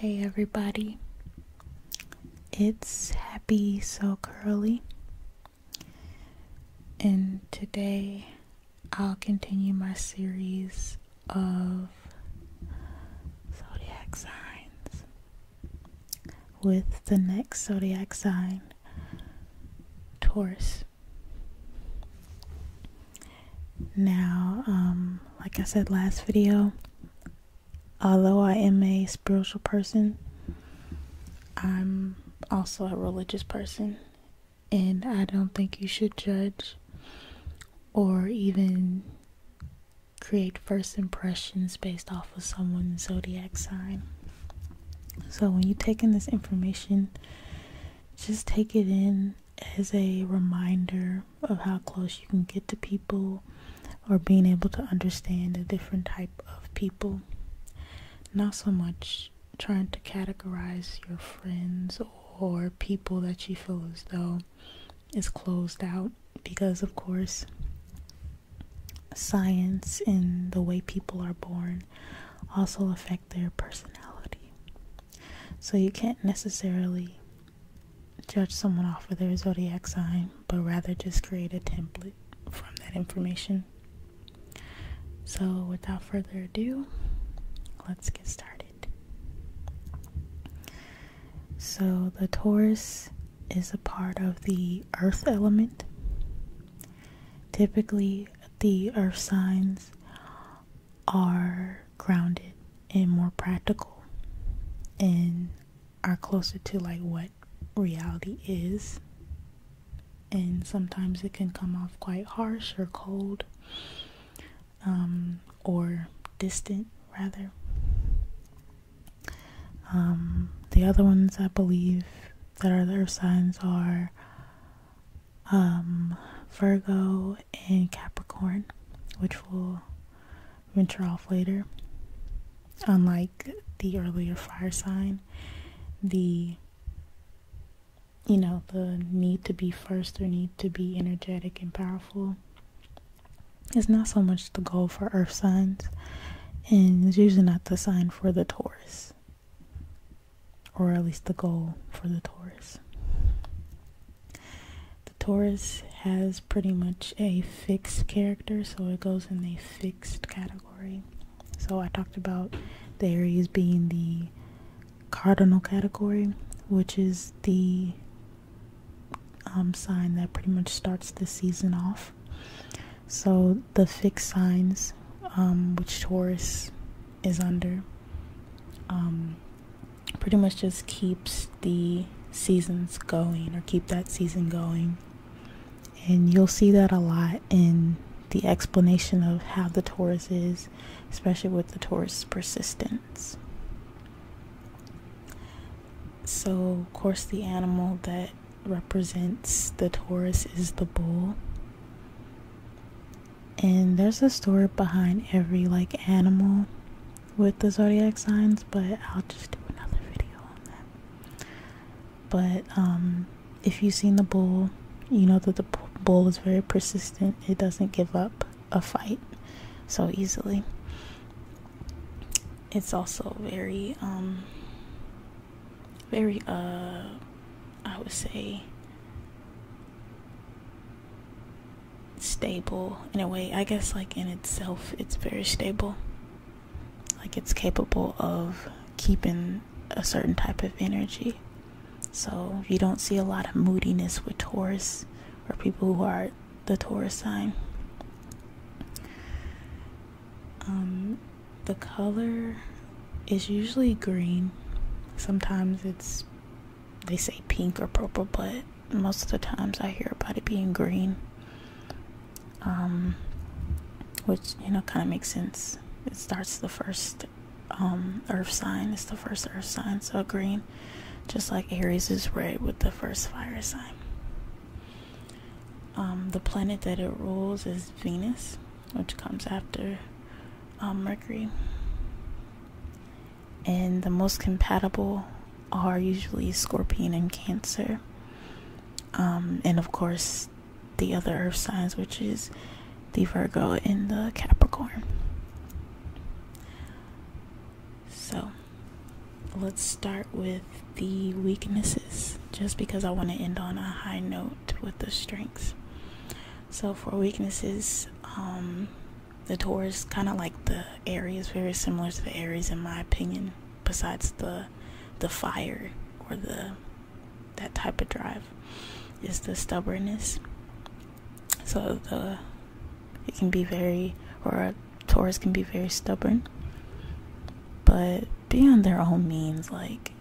Hey everybody, it's Happy So Curly, and today I'll continue my series of zodiac signs with the next zodiac sign, Taurus. Now, um, like I said last video, although I am a spiritual person, I'm also a religious person, and I don't think you should judge or even create first impressions based off of someone's zodiac sign. So when you take in this information, just take it in as a reminder of how close you can get to people or being able to understand a different type of people. Not so much trying to categorize your friends or people that you feel as though now is closed out because, of course, science and the way people are born also affect their personality. So you can't necessarily judge someone off of their zodiac sign, but rather just create a template from that information. So, without further ado, let's get started. So the Taurus is a part of the earth element. Typically, the earth signs are grounded and more practical and are closer to like what reality is. And sometimes it can come off quite harsh or cold. Um, or distant rather. Um, the other ones I believe that are the signs are um, Virgo and Capricorn, which will venture off later. Unlike the earlier fire sign, the you know the need to be first or need to be energetic and powerful it's not so much the goal for Earth signs, and it's usually not the sign for the Taurus, or at least the goal for the Taurus. The Taurus has pretty much a fixed character, so it goes in a fixed category. So I talked about the Aries being the cardinal category, which is the um, sign that pretty much starts the season off. So the fixed signs, um, which Taurus is under, um, pretty much just keeps the seasons going or keep that season going. And you'll see that a lot in the explanation of how the Taurus is, especially with the Taurus persistence. So, of course, the animal that represents the Taurus is the bull. And there's a story behind every like animal with the zodiac signs, but I'll just do another video on that. But um, if you've seen the bull, you know that the bull is very persistent. It doesn't give up a fight so easily. It's also very, um, very, uh, I would say, stable in a way. I guess, like, in itself, it's very stable. Like, it's capable of keeping a certain type of energy. So, you don't see a lot of moodiness with Taurus or people who are the Taurus sign. Um, the color is usually green. Sometimes it's, they say pink or purple, but most of the times I hear about it being green. Um, which, you know, kind of makes sense. It starts the first um, earth sign, it's the first earth sign, so green just like Aries is red with the first fire sign. Um, the planet that it rules is Venus, which comes after um, Mercury. And the most compatible are usually Scorpion and Cancer. Um, and of course, the other earth signs, which is the Virgo and the Capricorn. So let's start with the weaknesses just because I want to end on a high note with the strengths. So for weaknesses, um, the Taurus kind of like the Aries, very similar to the Aries in my opinion. Besides the the fire or the that type of drive, is the stubbornness. So the it can be very or a Taurus can be very stubborn. But beyond their own means, like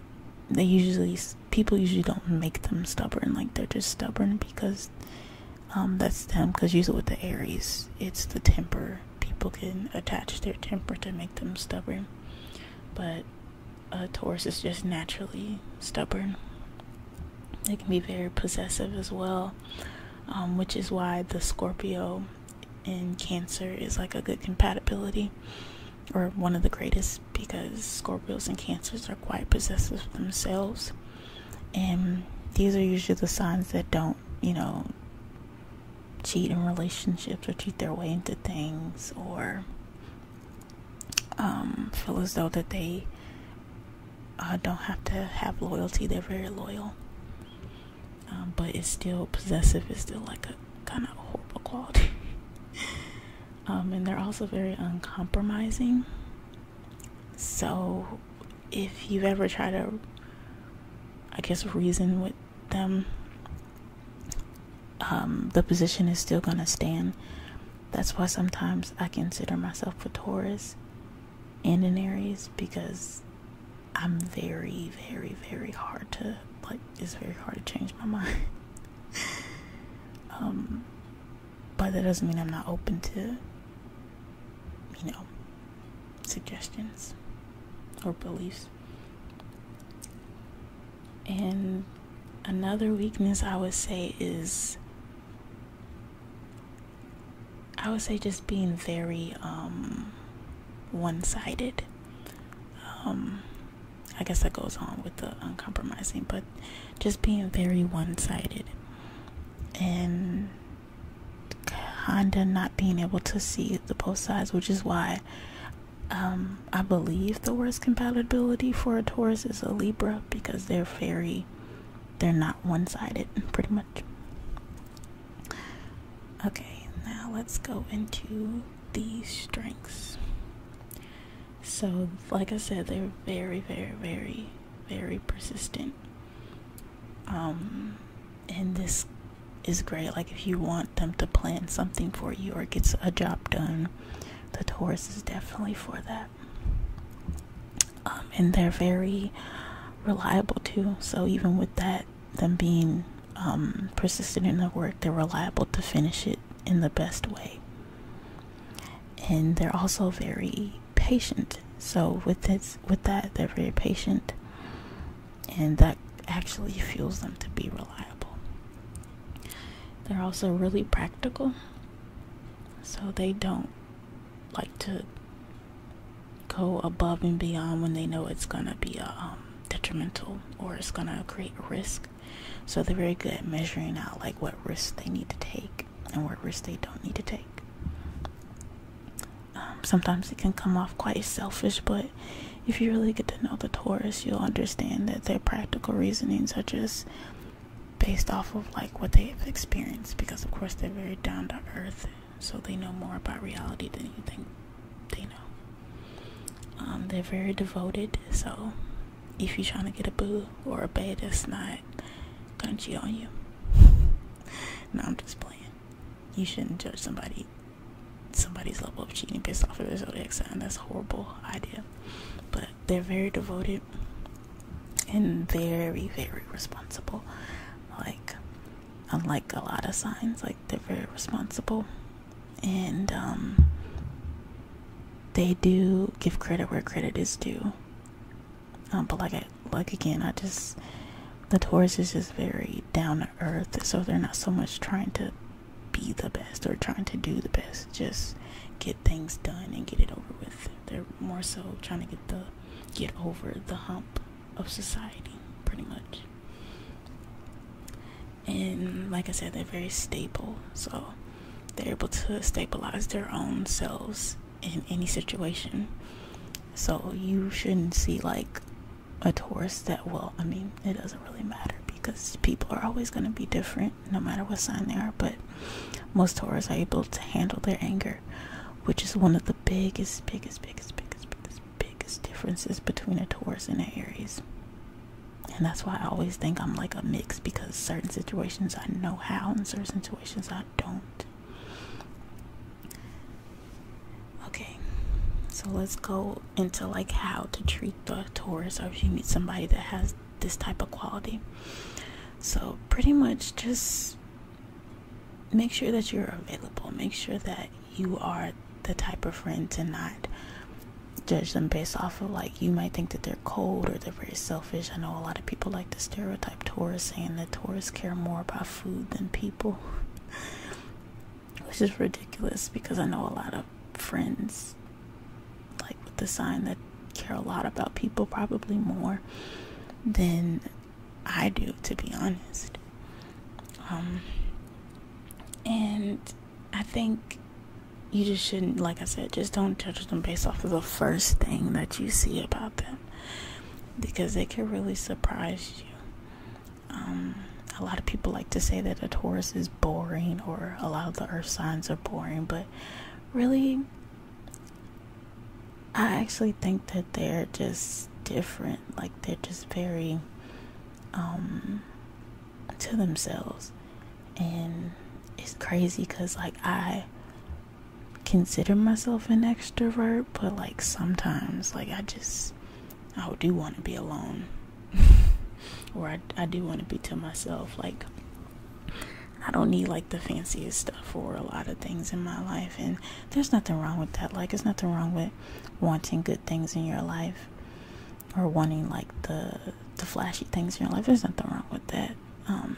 they usually people usually don't make them stubborn. Like they're just stubborn because um, that's them. Because usually with the Aries, it's the temper. People can attach their temper to make them stubborn, but uh, Taurus is just naturally stubborn. They can be very possessive as well, um, which is why the Scorpio and Cancer is like a good compatibility or one of the greatest because Scorpios and Cancers are quite possessive themselves. And these are usually the signs that don't, you know, cheat in relationships or cheat their way into things or um, feel as though that they I don't have to have loyalty. They're very loyal, um, but it's still possessive. It's still like a kind of horrible quality. Um, and they're also very uncompromising. So, if you ever try to, I guess, reason with them, um, the position is still going to stand. That's why sometimes I consider myself a Taurus and in Aries because I'm very, very, very hard to like it's very hard to change my mind. um but that doesn't mean I'm not open to you know suggestions or beliefs. And another weakness I would say is I would say just being very um, one sided. Um, I guess that goes on with the uncompromising, but just being very one sided and kind of not being able to see the both sides, which is why um, I believe the worst compatibility for a Taurus is a Libra because they're very they're not one-sided pretty much okay now let's go into the strengths so like i said they're very very very very persistent um and this is great like if you want them to plan something for you or get a job done the taurus is definitely for that um, and they're very reliable too. So even with that, them being um, persistent in their work, they're reliable to finish it in the best way. And they're also very patient. So with that, they're very patient, and that actually fuels them to be reliable. They're also really practical, so they don't like to go above and beyond when they know it's gonna be a, uh, um, detrimental or it's gonna create a risk. So they're very good at measuring out like what risks they need to take and what risks they don't need to take. Um, sometimes it can come off quite selfish, but if you really get to know the Taurus, you'll understand that their practical reasonings are just based off of like what they have experienced because of course they're very down to earth so they know more about reality than you think they know. Um, they're very devoted, so if you're trying to get a boo or a bae, that's not gonna cheat on you. no, I'm just playing. You shouldn't judge somebody, somebody's level of cheating based off of their zodiac sign. That's a horrible idea. But they're very devoted and very, very responsible. Like, unlike a lot of signs, like they're very responsible, and um, they do give credit where credit is due. Um, but like, like again, I just the Taurus is just very down to earth, so they're not so much trying to be the best or trying to do the best, just get things done and get it over with. They're more so trying to get the get over the hump of society, pretty much. And like I said, they're very stable, so they're able to stabilize their own selves in any situation. So you shouldn't see like a tourist that will. I mean, it doesn't really matter because people are always going to be different no matter what sign they are, but most tourists are able to handle their anger which is one of the biggest, biggest, biggest, biggest, biggest, biggest differences between a Taurus and an Aries. And that's why I always think I'm like a mix because certain situations I know how and certain situations I don't. Okay, so let's go into like how to treat the Taurus or if you meet somebody that has this type of quality. So, pretty much just make sure that you're available. Make sure that you are the type of friend to not judge them based off of like you might think that they're cold or they're very selfish. I know a lot of people like to stereotype tourists saying that tourists care more about food than people. Which is ridiculous because I know a lot of friends like with the sign that care a lot about people probably more than I do, to be honest. Um, and I think you just shouldn't, like I said, just don't judge them based off of the first thing that you see about them because they can really surprise you. Um, a lot of people like to say that a Taurus is boring or a lot of the earth signs are boring, but really, I actually think that they're just different. Like they're just very um to themselves. And it's crazy cuz like I consider myself an extrovert, but like sometimes like I just I do want to be alone. or I I do want to be to myself like I don't need like the fanciest stuff for a lot of things in my life and there's nothing wrong with that. Like, there's nothing wrong with wanting good things in your life or wanting like the the flashy things in your life. There's nothing wrong with that. Um,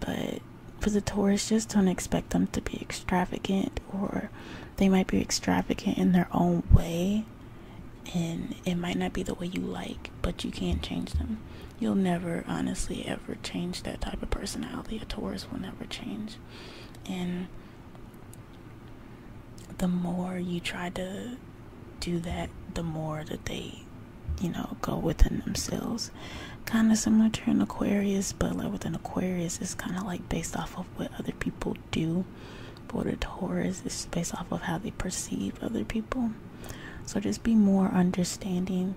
but for the Taurus, just don't expect them to be extravagant, or they might be extravagant in their own way, and it might not be the way you like, but you can't change them. You'll never, honestly, ever never change that type of personality. A Taurus will never change. And the more you try to do that, the more that they, you know, go within themselves. Kind of similar to an Aquarius, but like with an Aquarius, it's kind of like based off of what other people do. For the Taurus, is based off of how they perceive other people. So just be more understanding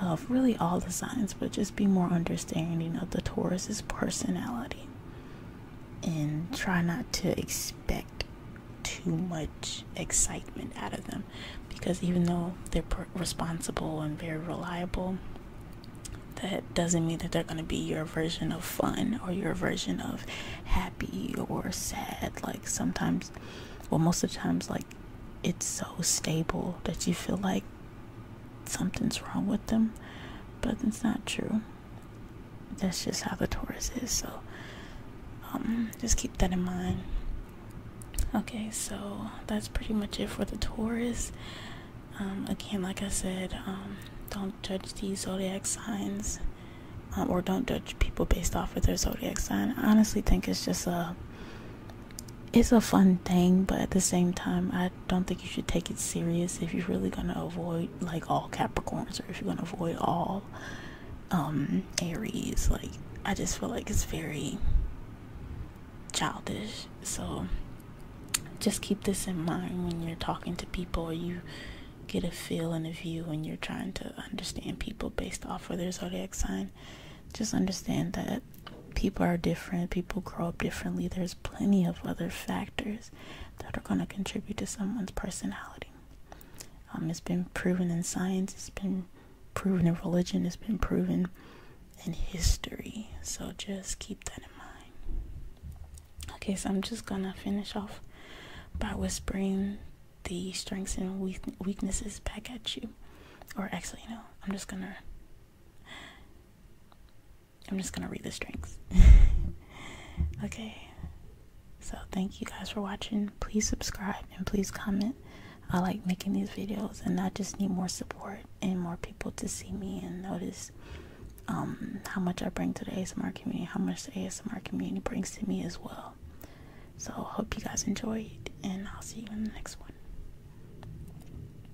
of really all the signs, but just be more understanding of the Taurus's personality and try not to expect too much excitement out of them because even though they're responsible and very reliable, that doesn't mean that they're going to be your version of fun or your version of happy or sad. Like sometimes, well, most of the times, like it's so stable that you feel like something's wrong with them, but it's not true. That's just how the Taurus is. So, um, just keep that in mind. Okay, so that's pretty much it for the Taurus. Um, again, like I said, um, don't judge these zodiac signs, or don't judge people based off of their zodiac sign. I honestly think it's just a it's a fun thing, but at the same time, I don't think you should take it serious if you're really going to avoid like all Capricorns or if you're going to avoid all um, Aries. Like, I just feel like it's very childish. So, just keep this in mind when you're talking to people or you get a feel and a view when you're trying to understand people based off of their zodiac sign just understand that people are different, people grow up differently. There's plenty of other factors that are going to contribute to someone's personality. Um, it's been proven in science, it's been proven in religion, it's been proven in history. So just keep that in mind. Okay, so I'm just going to finish off by whispering the strengths and weaknesses back at you. Or actually, no, I'm just going to I'm just gonna read the strings. okay. So thank you guys for watching. Please subscribe and please comment. I like making these videos and I just need more support and more people to see me and notice um, how much I bring to the ASMR community, how much the ASMR community brings to me as well. So hope you guys enjoyed and I'll see you in the next one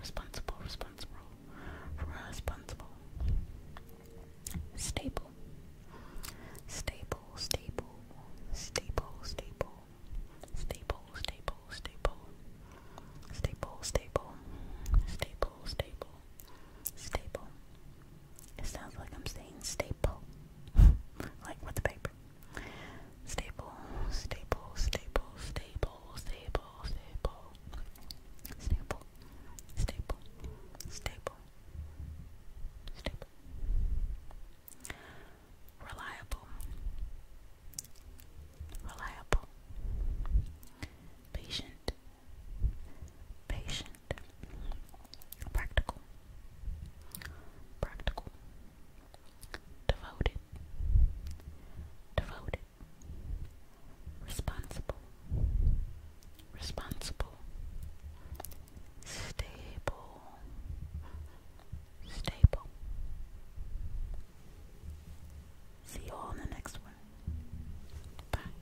responsible, responsible, responsible, responsible, stable, stable, stable, stable, stable, stable, stable, stable, stable, stable, stable, stable, stable. It sounds like I'm saying staple, like with the paper. Stable, stable, stable, stable. Stable, stable, stable. Stable, stable, stable, Reliable, reliable. Patient, patient. Practical, practical devoted, devoted, responsible, responsible, stable, stable. See you all in the next one. Bye.